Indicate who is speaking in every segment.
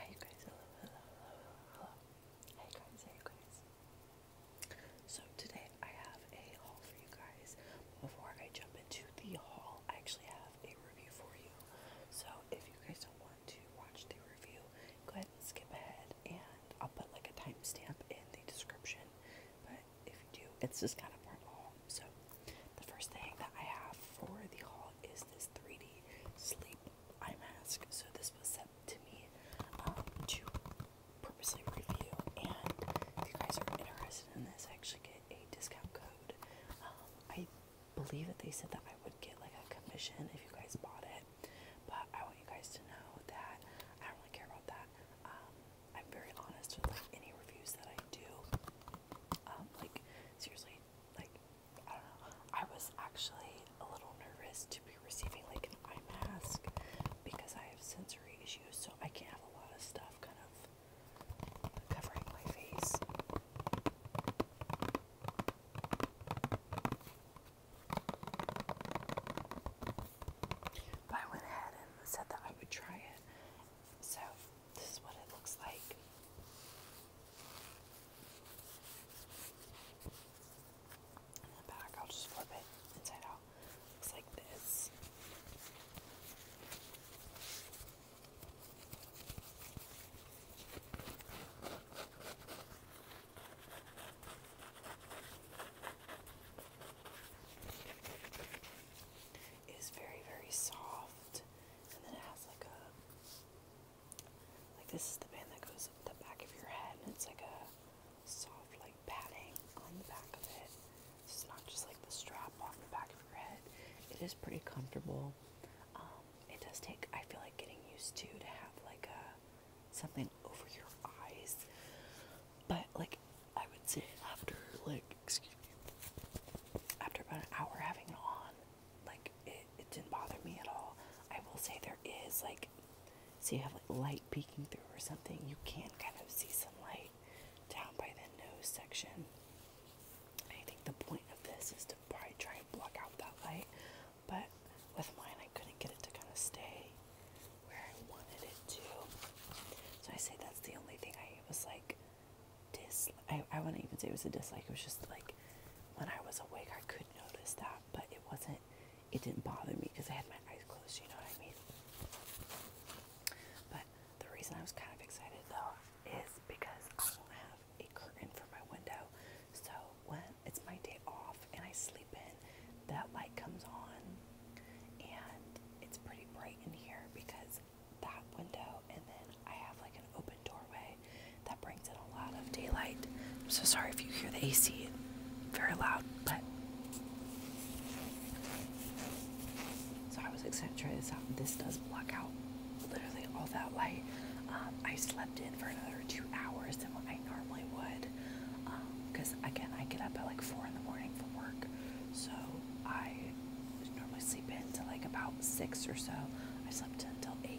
Speaker 1: Hi guys, hello, hello, hello, hello. Hey guys, hey guys. So today I have a haul for you guys. Before I jump into the haul, I actually have a review for you. So if you guys don't want to watch the review, go ahead and skip ahead and I'll put like a timestamp in the description. But if you do, it's just kind of part of the haul. So the first thing that I have for the haul is this 3D sleep eye mask. So this was sent to me um, to purposely review. And if you guys are interested in this, I actually get a discount code. Um, I believe that they said that I would get like a commission if you guys bought it. But I want you guys to know that I don't really care about that. Um, I'm very honest with like any reviews that I do. Um, like seriously, like I don't know. I was actually a little nervous to be receiving like an eye mask because I have sensory issues, so I can't have a lot of stuff kind of covering my face. But I went ahead and said that I would try it. So this is what it looks like. In the back, I'll just flip it inside out. Looks like this. It's very, very soft, and then it has like a like this is the band that goes up the back of your head and it's like a soft like padding on the back of it. It's not just like the strap on the back of your head. It is pretty comfortable. Um, it does take I feel like getting used to to have like a something over your eyes. But like I would say after like excuse me after about an hour having it on like it, it didn't bother me at all. I will say there is like, so you have like light peeking through or something. You can kind of see some light down by the nose section. I think the point of this is to probably try and block out that light, but with mine I couldn't get it to kind of stay where I wanted it to. So I say that's the only thing I was like dis I, I wouldn't even say it was a dislike, it was just like when I was awake I could notice that, but it wasn't it didn't bother me because I had my eyes closed, you know what I mean? But the reason I was kind of excited though is because I do not have a curtain for my window. So when it's my day off and I sleep in, that light comes on and it's pretty bright in here because that window, and then I have like an open doorway that brings in a lot of daylight. I'm so sorry if you hear the AC very loud, but so I was excited to try this out. This does block out literally all that light. Um, I slept in for another two hours than what I normally would, because um, again, I get up at like four in the morning from work, so I normally sleep in till like about six or so. I slept until eight.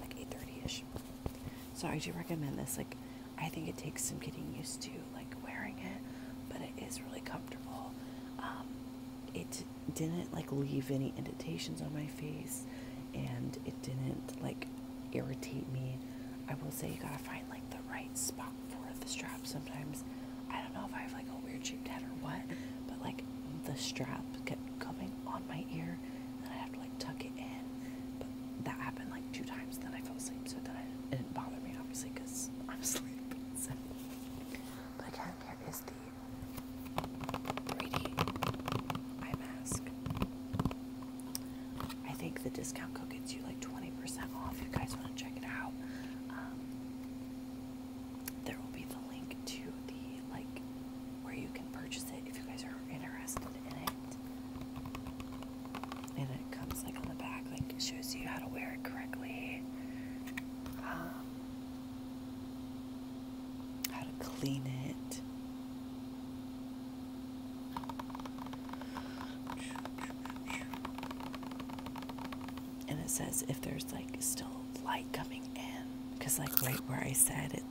Speaker 1: Like 8.30ish. So I do recommend this. Like I think it takes some getting used to like wearing it, but it is really comfortable. Um, it didn't like leave any indentations on my face and it didn't like irritate me. I will say you gotta find like the right spot for the strap sometimes I don't know if I have like a weird shaped head or what, but like the strap kept coming on my ear, and then I have to like tuck it in. But that happened like two times, then I fell asleep, so then I, it didn't bother me obviously because I'm asleep. But here is the eye mask. I think the discount code gets you like 20% off. you guys want to check it out, um, there will be the link to the like where you can purchase it if you guys are interested in it. And it comes like on the back, like shows you how to wear it correctly, um, how to clean it and it says if there's like still light coming in because like right where I sat, it's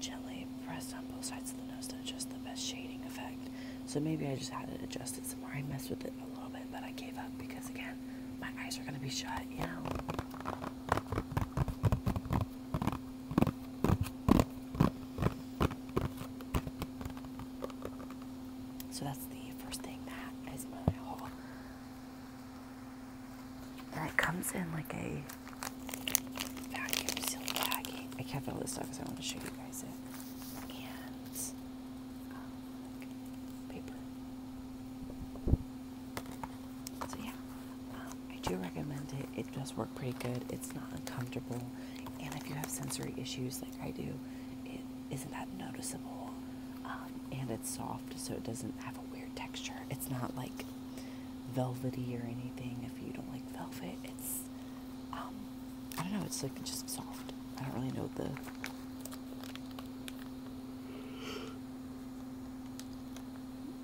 Speaker 1: gently pressed on both sides of the nose to adjust the best shading effect so maybe I just had it adjusted some more I messed with it a little bit but I gave up because again my eyes are gonna be shut you know so that's the first thing that is my whole and it comes in like a vacuum seal baggie. I kept all this stuff because I want to show you guys it. And um, So yeah, um, I do recommend it. It does work pretty good. It's not uncomfortable. And if you have sensory issues like I do, is isn't that noticeable um, and it's soft so it doesn't have a weird texture. It's not like velvety or anything if you don't like velvet. It's, um, I don't know, it's like just soft. I don't really know the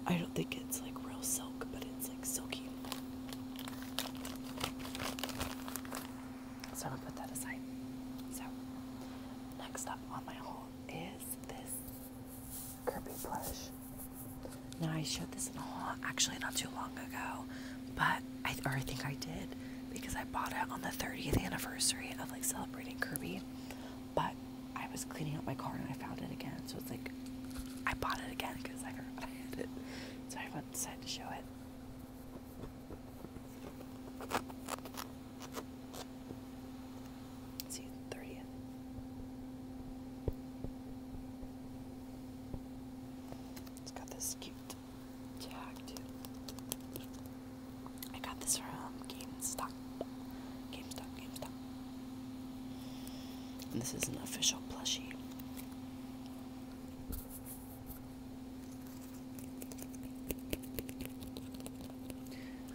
Speaker 1: I don't think it's like real silk, but it's like silky. So I'm gonna put that aside. So next up on my haul is this Kirby plush. Now I showed this in a haul actually not too long ago, but I or I think I did because I bought it on the 30th anniversary of like celebrating Kirby. But I was cleaning up my car and I found it again. So it's like I bought it again because I forgot I it. So I decided to show it. See the thirtieth. It's got this cute tag too. I got this from GameStop. GameStop, GameStop. And this is an official plushie.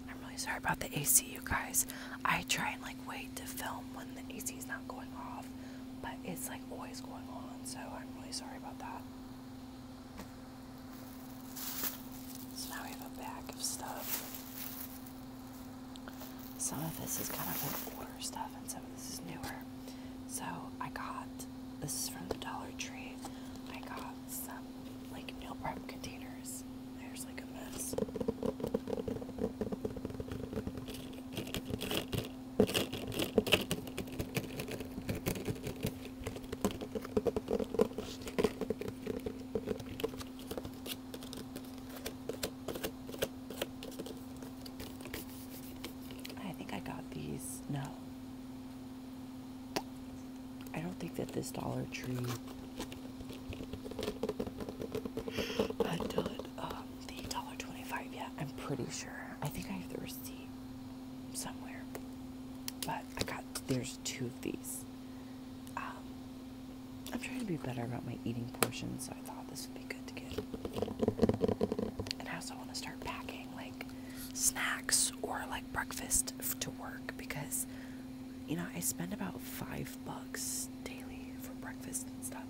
Speaker 1: I'm really sorry about the AC, you guys. I try and like wait to film when the AC is not going off, but it's like always going on, so I'm really sorry about that. So now we have a bag of stuff. Some of this is kind of like older stuff, and some of this is newer. So I got this is from the Dollar Tree. I got some like meal prep containers. There's like a mess. I think I got these. No. I don't think that this Dollar Tree had done uh, the dollar twenty-five yet. I'm pretty sure. I think I have the receipt somewhere, but I got there's two of these. Um, I'm trying to be better about my eating portions, so I thought this would be good to get. And I also want to start packing. Like snacks or like breakfast to work because you know I spend about five bucks daily for breakfast and stuff.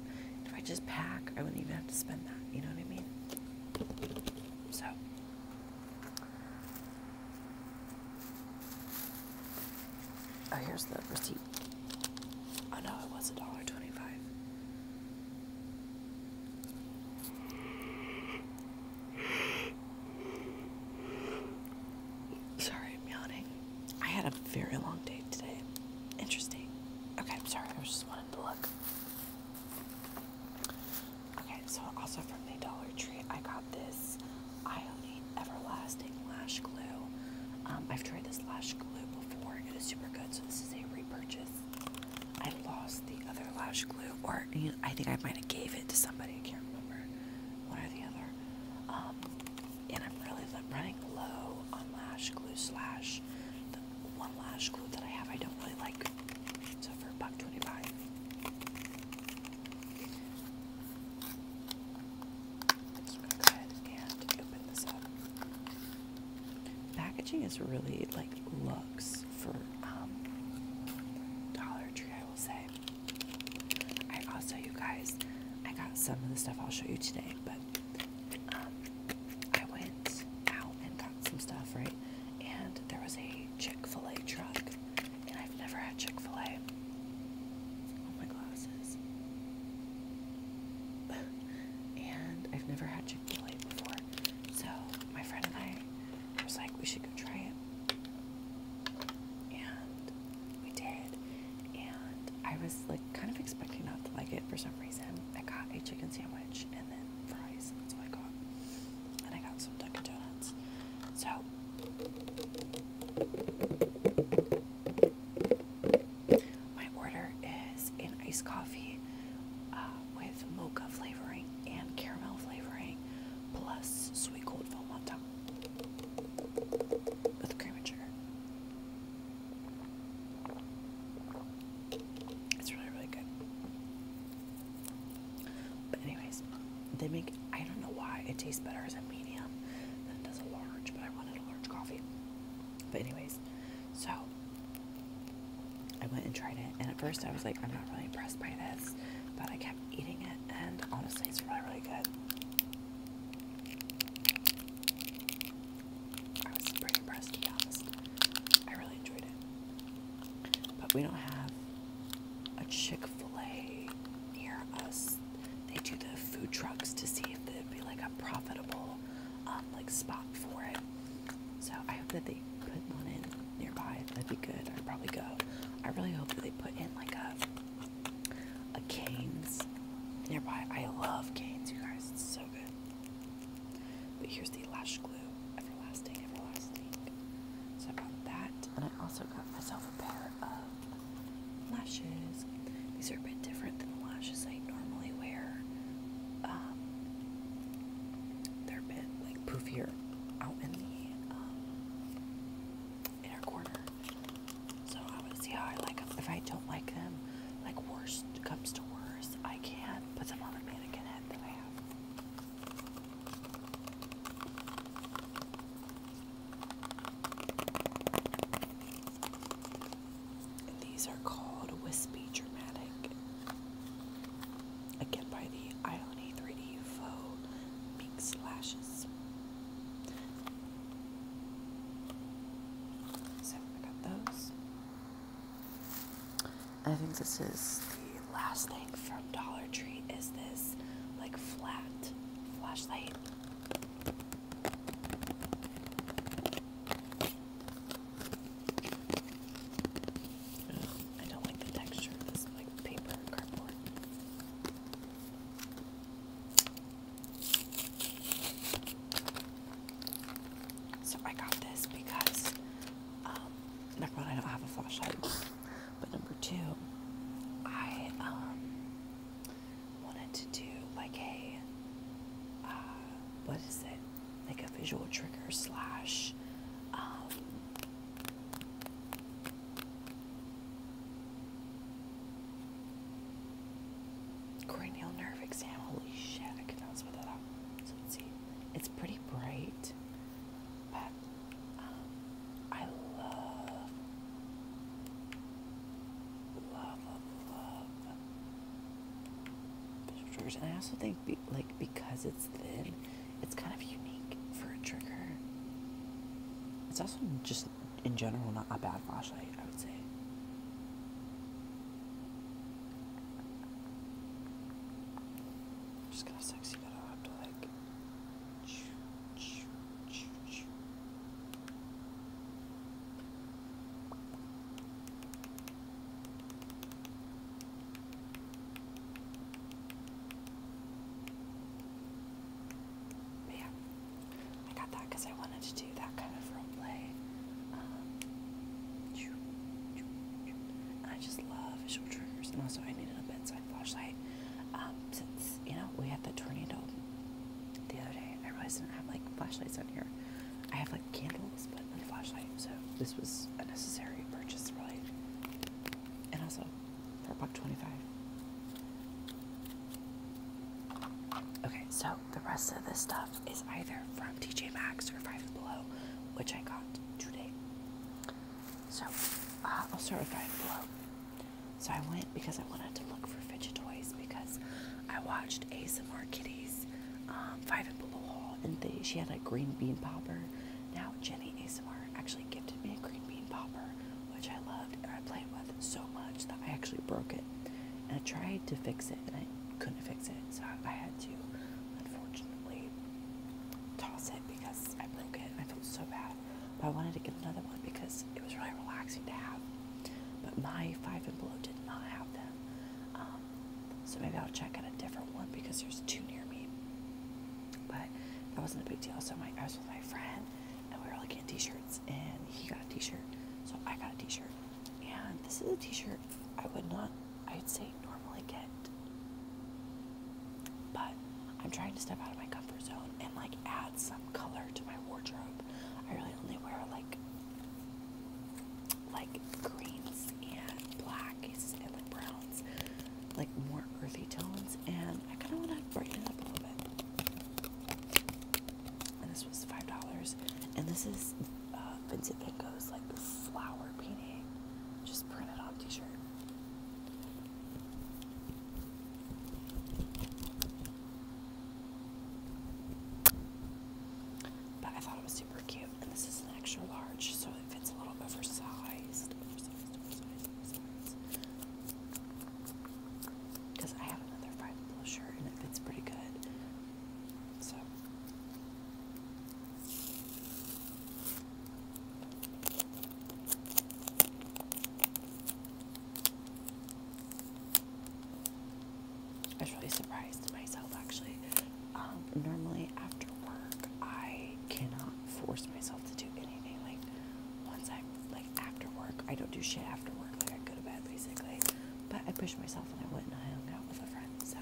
Speaker 1: If I just pack, I wouldn't even have to spend that. You know what I mean? So. Oh, here's the receipt. Oh no, it was a dollar twenty-five. Sorry, I'm yawning. I had a very long day today. Interesting. Okay, I'm sorry. I was just wanted to look. Okay, so also from the Dollar Tree, I got this Ioni Everlasting Lash Glue. Um, I've tried this lash glue before. It is super good, so this is a repurchase. I lost the other lash glue, or I think I might have gave it to somebody. I can't remember one or the other. Um, and I'm really running low on lash glue slash the one lash glue that I have. I don't really like. So for buck twenty-five. I'm go ahead and open this up. Packaging is really like looks for um, Dollar Tree, I will say. I also, you guys, I got some of the stuff I'll show you today, but um, I went out and got some stuff, right? And there was a Chick fil A truck, and I've never had Chick fil A. Oh, my glasses. and I've never had Chick fil A before. So, my friend and I I was like, we should go try it. And we did. And I was like kind of expecting not to like it for some reason. I got a chicken sandwich and then fries. That's what I got. And I got some Dunkin' Donuts. So my order is an iced coffee uh, with mocha flavoring and caramel flavoring, plus sweet cold foam on top with cream and sugar. It's really, really good. But anyways, they make I don't know why it tastes better as a medium than it does a large, but I wanted a large coffee. But anyways, so I went and tried it, and at first I was like, I'm not really impressed by this, but I kept eating it, and honestly, it's really, really good. I was pretty impressed, to be I really enjoyed it. But we don't have a Chick fil A near us. They do the food trucks to see if it would be like a profitable um, like spot for it. So I hope that they put one in nearby. That'd be good. I'd probably go. I really hope that they put in like a a Canes nearby. I love Canes, you guys. It's so good. But here's the lash glue, everlasting, everlasting. So I got that, and I also got myself a pair of lashes. These are a bit different than the lashes I normally wear. Um, they're a bit like poofier out in the um, inner corner. So I want to see how I like them. If I don't like them, like worst comes to worst, I can put them on the mannequin head that I have. these are called Wispy Dramatic Again by the Ione 3D Faux Minx Lashes. So I got those. I think this is the last thing from Dollar Tree is this like flat flashlight. I don't like the texture this like paper cardboard. So I got this because number one, I don't have a flashlight, but number two, I um, wanted to do like a uh, what is it? like a visual trigger slash um, cranial nerve exam. Holy shit, I cannot not spell that out. So let's see. It's pretty bright, um, I love, love, love, love visual triggers. And I also think like because it's thin, it's kind of unique for a trigger. It's also just in general not a bad flashlight, I would say. just gonna sexy that I have to like but yeah, I got that because I wanted to do that kind of role um, I just love visual triggers, and also I needed a bedside flashlight um, since you know we had the tornado the other day. I realized I didn't have like flashlights on here. I have like candles, but flashlight, so this was a necessary purchase, really. And also for a buck twenty-five. Okay, so the rest of this stuff is either from TJ Maxx or Five Below, which I got today. So uh, I'll start with Five Below. So I went because I wanted to look for fidget toys because I watched ASMR Kitties um, Five and Below haul, and they, she had like green bean popper now, Jenny ASMR actually gifted me a green bean popper, which I loved and I played with so much that I actually broke it. And I tried to fix it and I couldn't fix it, so I had to unfortunately toss it because I broke it. I felt so bad. But I wanted to get another one because it was really relaxing to have. But my Five and Below did not have them. Um, so maybe I'll check out a different one because there's two near me. But that wasn't a big deal. So I was with my friend and we were looking at t shirts and he got a t shirt. So I got a t shirt. And this is a t shirt I would not, I'd say, normally get. But I'm trying to step out of my comfort zone and like add some color to my wardrobe. I really only wear like like greens and blacks and like browns like more earthy tones, and I kind of want to brighten it up a little bit. And this was five dollars, and this is uh, Vincent Van Gogh's like flower painting, just printed on T-shirt. But I thought it was super cute. And this is an extra large, so it fits a little oversized. Because I have another five blusher and it fits pretty good. So. I was really surprised myself actually um, normally after work, I cannot force myself to do anything. Like once I'm like after work, I don't do shit after work. Like I go to bed basically. But I pushed myself and I went and I hung out with a friend. So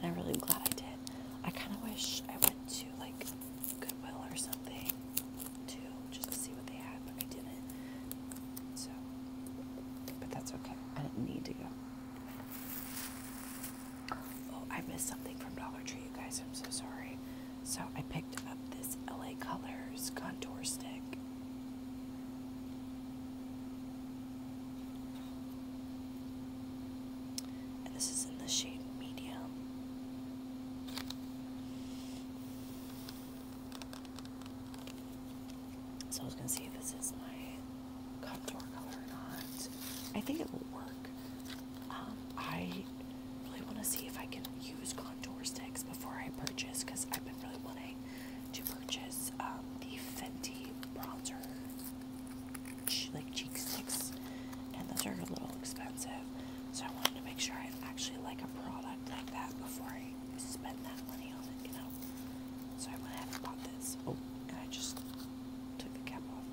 Speaker 1: and I'm really glad I did. I kind of wish I went to like Goodwill or something too, just to see what they had, but I didn't. So, but that's okay. I didn't need to go. Oh, I missed something from Dollar Tree, you guys. I'm so sorry. So I picked up this LA Colors contour stick. And this is in the shade medium. So I was going to see if this is my contour color or not. I think it will work. Um, I really want to see if I can use contour sticks before I purchase because I've been really wanting to purchase um, the Fenty bronzer like cheek sticks, and those are a little expensive. So I wanted to make sure I actually like a product like that before I spend that money on it, you know. So I went ahead and bought this. Oh, and I just Took the cap off.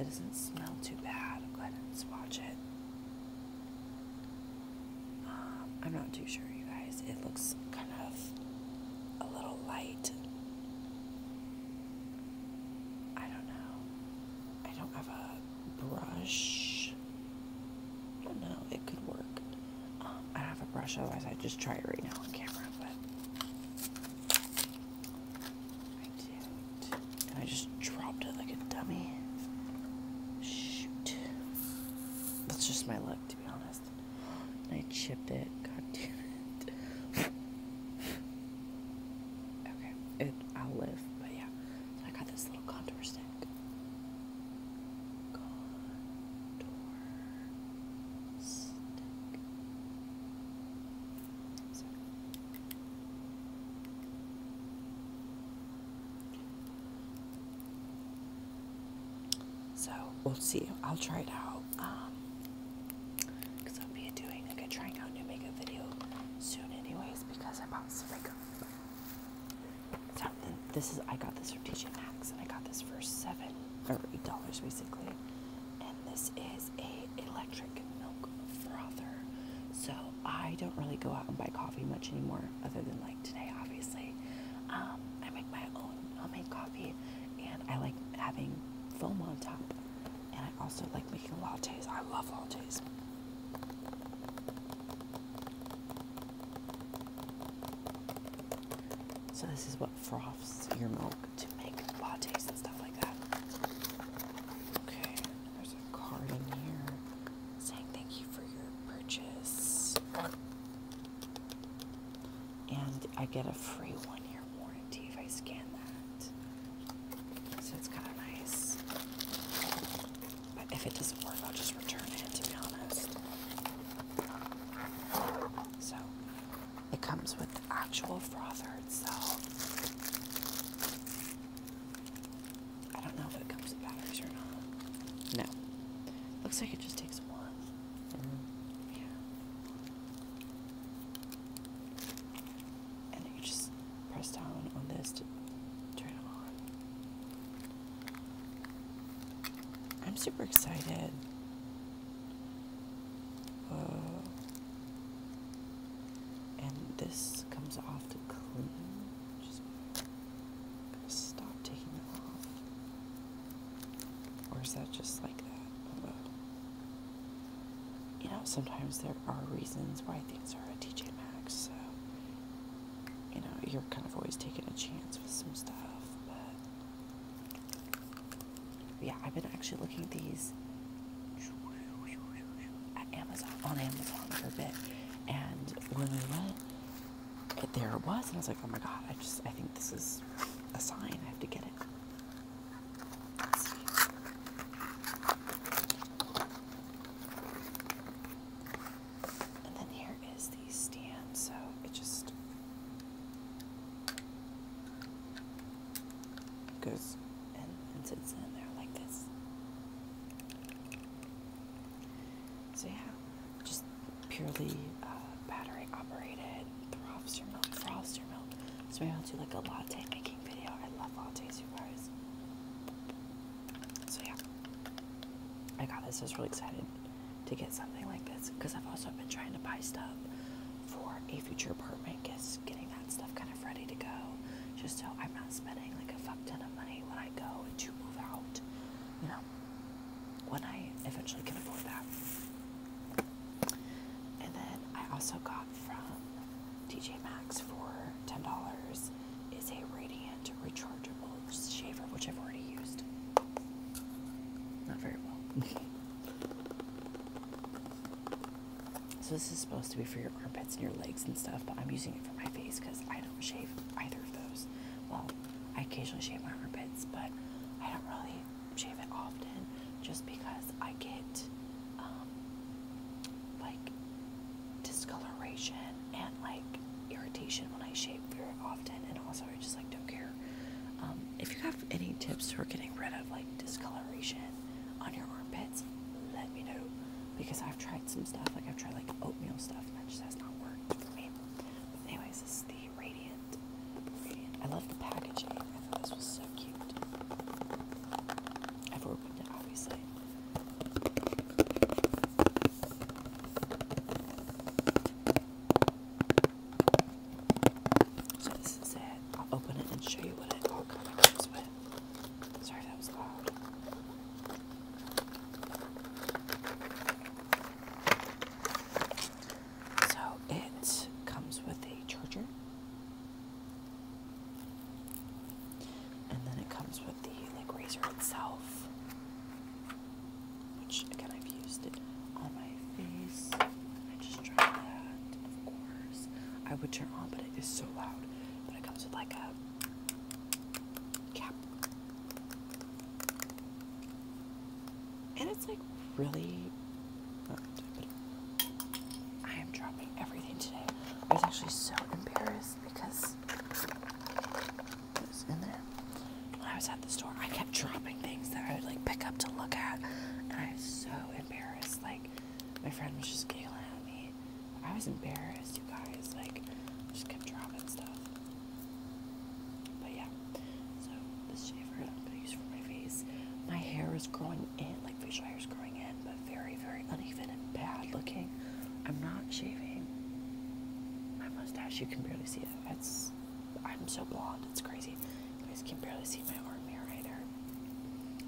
Speaker 1: It doesn't smell too bad. I'm glad not swatch it. Um, I'm not too sure, you guys. It looks kind of a little light. I don't know. I don't have a brush. I don't know. It could work. I don't have a brush, otherwise I'd just try it right now on camera, but I just dropped it like a dummy. Shoot. That's just my luck, to be honest. And I chipped it. God damn it. okay, it, I'll live, but yeah. I got this little contour stick. So we'll see. I'll try it out. because um, I'll be doing like a trying out new makeup video soon, anyways. Because I bought some makeup, so this is I got this from TJ Maxx and I got this for seven or eight dollars basically. And this is a electric milk frother. So I don't really go out and buy coffee much anymore, other than like today, obviously. Um, I make my own homemade coffee, and I like having foam on top. And I also like making lattes. I love lattes. So this is what froths your milk to make lattes and stuff like that. Okay, there's a card in here saying thank you for your purchase. And I get a free one year warranty if I scan that. So it's kind of nice. But if it doesn't work, I'll just return it, to be honest. So it comes with the actual frother itself. I don't know if it comes with batteries or not. No. Looks like it just takes one. Mm-hmm. Yeah. And you just press down on this to turn it on. I'm super excited. And this comes off the clean. Just stop taking it off. Or is that just like that? you know, sometimes there are reasons why things are at TJ Maxx, so you know, you're kind of always taking a chance with some stuff, but yeah, I've been actually looking at these at Amazon on Amazon for a bit, and when we went, there it was, and I was like, oh my god, I just I think this is a sign. I have to get it. And then here is the stand, so it just Goes and, sits in there like this. So yeah, just purely uh, battery operated, throbs your milk, froths your milk. So I'll do like a latte making video. I love lattes, you guys. So yeah, I got this. I was really excited to get something like this because I've also been trying to buy stuff for a future apartment just getting that stuff kind of ready to go just so I'm not spending like a fuck ton of money when I go to move out you know when I eventually can afford that and then I also got from TJ Maxx for $10 is a radiant rechargeable shaver, which I've already used. Not very well. so this is supposed to be for your armpits and your legs and stuff, but I'm using it for my face because I don't shave either of those. Well, I occasionally shave my armpits, but I don't really shave it often just because I get um, like discoloration and like irritation when I shave very often, and also just like don't care. Um, if you have any tips for getting rid of like discoloration on your armpits, let me know because I've tried some stuff. Like I've tried like oatmeal stuff and that just has not worked for me. But anyways, this is the Radiant. Radiant. I love the packaging. I thought this was so cute. I've opened it obviously. So this is it. I'll open it and show you what it all comes with. Sorry, that was loud. So it comes with a charger. And then it comes with the like razor itself which again I've used it on my face. I just tried that, of course. I would turn on, but it is so loud. But it comes with like a cap, and it's like really. I am dropping everything today. I was actually so embarrassed because in there. I was at the store, I kept dropping things that I would like pick up to look at, and I was so embarrassed. Like, my friend was just giggling at me. I was embarrassed, you guys. Like, just kept dropping stuff. But yeah, so this shaver I'm gonna use for my face. My hair is growing in, like facial hair is growing in, but very, very uneven and bad looking. I'm not shaving my mustache. You can barely see it. That's. I'm so blonde, it's crazy. You guys can barely see my arm hair either.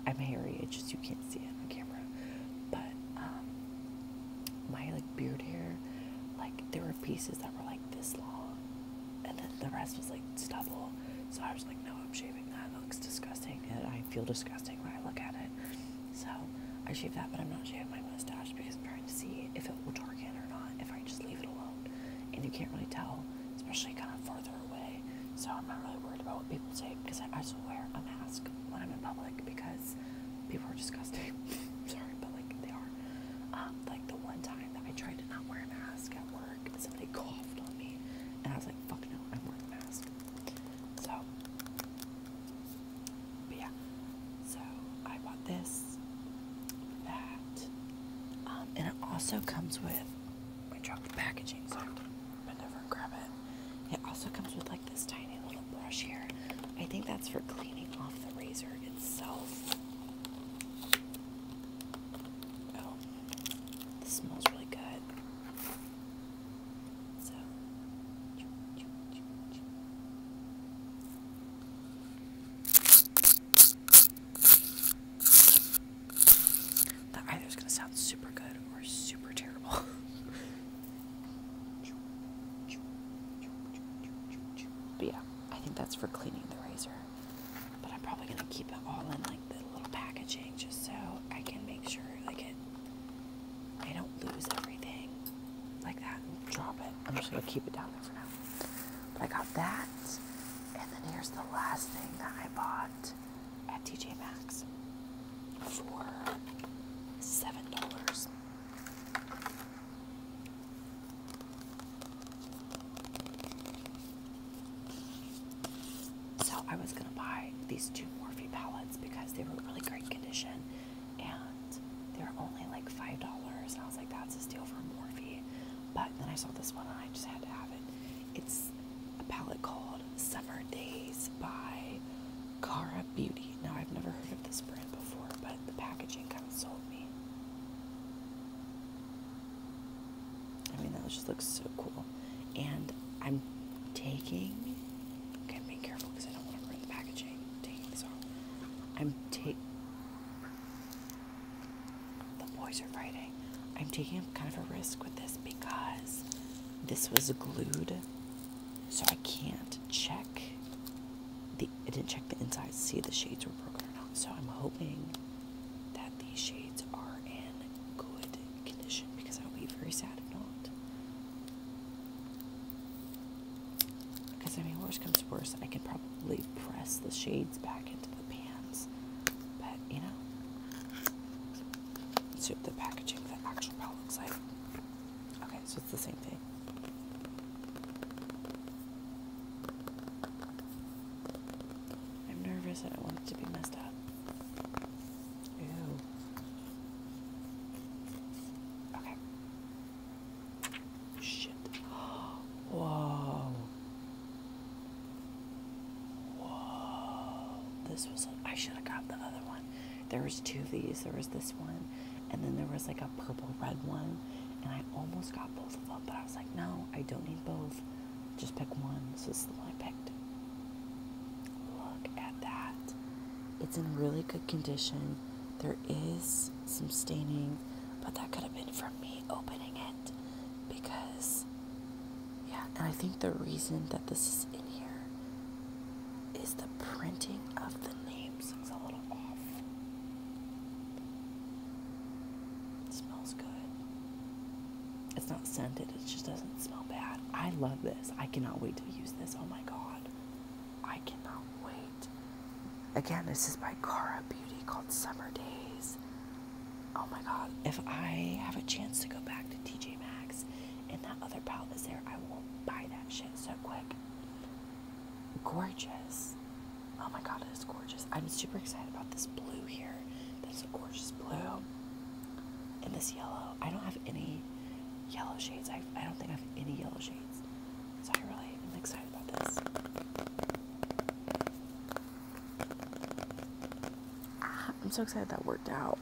Speaker 1: I'm hairy, it's just you can't see it on camera. But um, my like beard hair, like there were pieces that were like this long and then the rest was like stubble. So I was like, no, I'm shaving that. It looks disgusting and I feel disgusting when I look at it. So I shave that but I'm not shaving my mustache because to see if it will target or not if I just leave it alone. And you can't really tell, especially kind of further away. So I'm not really worried about what people say because I still wear a mask when I'm in public because people are disgusting. Sorry, but like they are. Um, like the one time that I tried to not wear a mask at work, somebody coughed on me, and I was like, "Fuck no, I'm wearing a mask." So, but yeah, so I bought this, that, um, and it also comes with my chocolate packaging, so I never grab it. It also comes with like this tiny little brush here. I think that's for cleaning off the razor itself. Oh, this smells really good. So, that either is gonna sound super good or super terrible. but yeah, I think that's for cleaning the razor. But I'm probably gonna keep it all in like the little packaging just so I can make sure like it I don't lose everything like that and drop it. I'm just gonna keep it down there for now. But I got that. And then here's the last thing that I bought at TJ Maxx for seven dollars. So I was gonna buy these two Morphe palettes because they were really great condition and they were only like $5. And I was like, that's a steal for Morphe. But then I saw this one and I just had to have it. It's a palette called Summer Days by Cara Beauty. Now, I've never heard of this brand before, but the packaging kind of sold me. I mean, that just looks so cool. And I'm taking, okay, be careful because I don't want to ruin the packaging. taking this off. I'm taking, the boys are fighting. I'm taking kind of a risk with this because this was glued, so I can't check the. I didn't check the inside to see if the shades were broken or not. So I'm hoping that these shades are in good condition because I'll be very sad if not. Because, I mean, worst comes to worst, I could probably press the shades back into the pans. But, you know, let's see what the packaging, the actual palette looks like. Okay, so it's the same thing. I'm nervous. I don't want it to be messed up. Ew. Okay. Shit. Whoa. Whoa. This was, I should have grabbed the other one. There was two of these. There was this one, and then there was like a purple red one, and I almost got both of them, but I was like, no, I don't need both. Just pick one. So this is the one I picked. Look at that. It's in really good condition. There is some staining but that could have been from me opening it because, yeah, and I think the reason that this is in here is the printing of the names is a little off. smells good. It's not scented, it just doesn't smell bad. I love this. I cannot wait to use this. Oh my god. I cannot wait. Again, this is by Cara Beauty called Summer Days. Oh my god, if I have a chance to go back to TJ Maxx and that other palette is there, I will buy that shit so quick. Gorgeous. Oh my god, it is gorgeous. I'm super excited about this blue here. That's a gorgeous blue. And this yellow. I don't have any yellow shades. I, I don't think I have any yellow shades. So I really am excited. Ah, I'm so excited that worked out.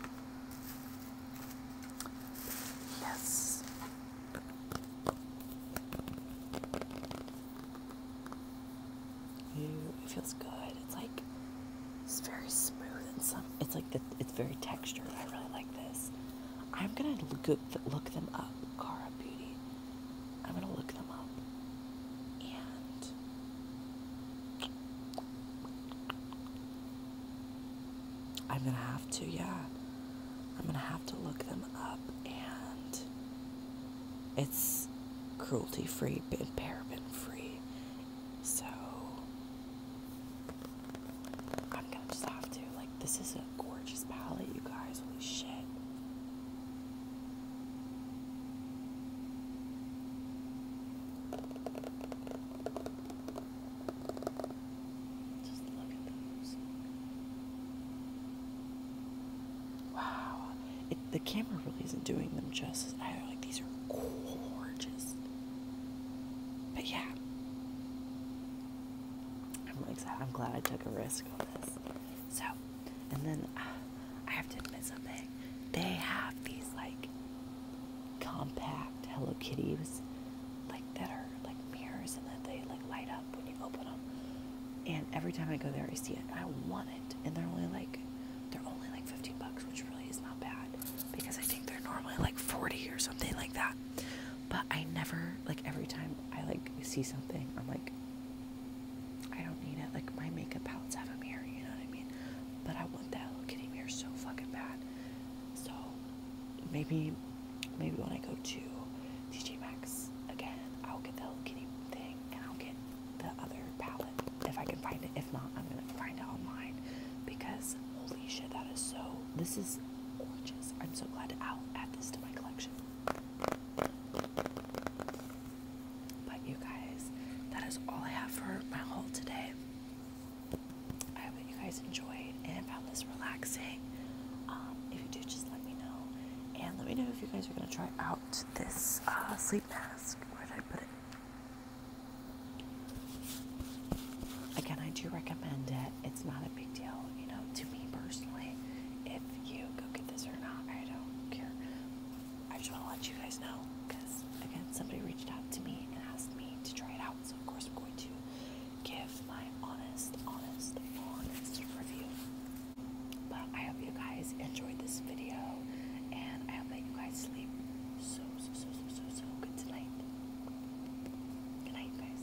Speaker 1: Yes. Ew, it feels good. It's like it's very smooth and some. It's like the, it's very textured. I really like this. I'm gonna look look them up, Cara Beauty. I'm going to look them up. And I'm going to have to, yeah. I'm going to have to look them up. And it's cruelty free and paraben free. So I'm gonna just have to. Like, this is a gorgeous palette, you guys. Holy shit. Wow. the camera really isn't doing them justice either. Like, these are gorgeous. But yeah. I'm like, I'm glad I took a risk so, and then uh, I have to admit something. They have these like compact Hello Kitties, like that are like mirrors and that they like light up when you open them. And every time I go there, I see it. I want it, and they're only like they're only like 15 bucks, which really is not bad because I think they're normally like 40 or something like that. But I never like every time I like see something, I'm like, I don't need it. Like my makeup palettes have a mirror, you know what I mean? But I want that Hello Kitty mirror so fucking bad. So maybe maybe when I go to TJ Maxx again, I'll get the Hello Kitty thing and I'll get the other palette if I can find it. If not, I'm gonna find it online because holy shit, that is so. This is gorgeous. I'm so glad to add this to my collection. But you guys, that is all I have for my haul today. I hope that you guys enjoyed and found this relaxing. Um, if you do, just let me know. And let me know if you guys are going to try out this uh, sleep mask. Where did I put it? Again, I do recommend it. It's not big deal, you know, to me personally. If you go get this or not, I don't care. I just want to let you guys know because, again, somebody reached out to me and asked me to try it out. So, of course, I'm going to give my honest, honest, honest review. But I hope you guys enjoyed this video and I hope that you guys sleep so, so, so, so, so, so good tonight. Good night, guys.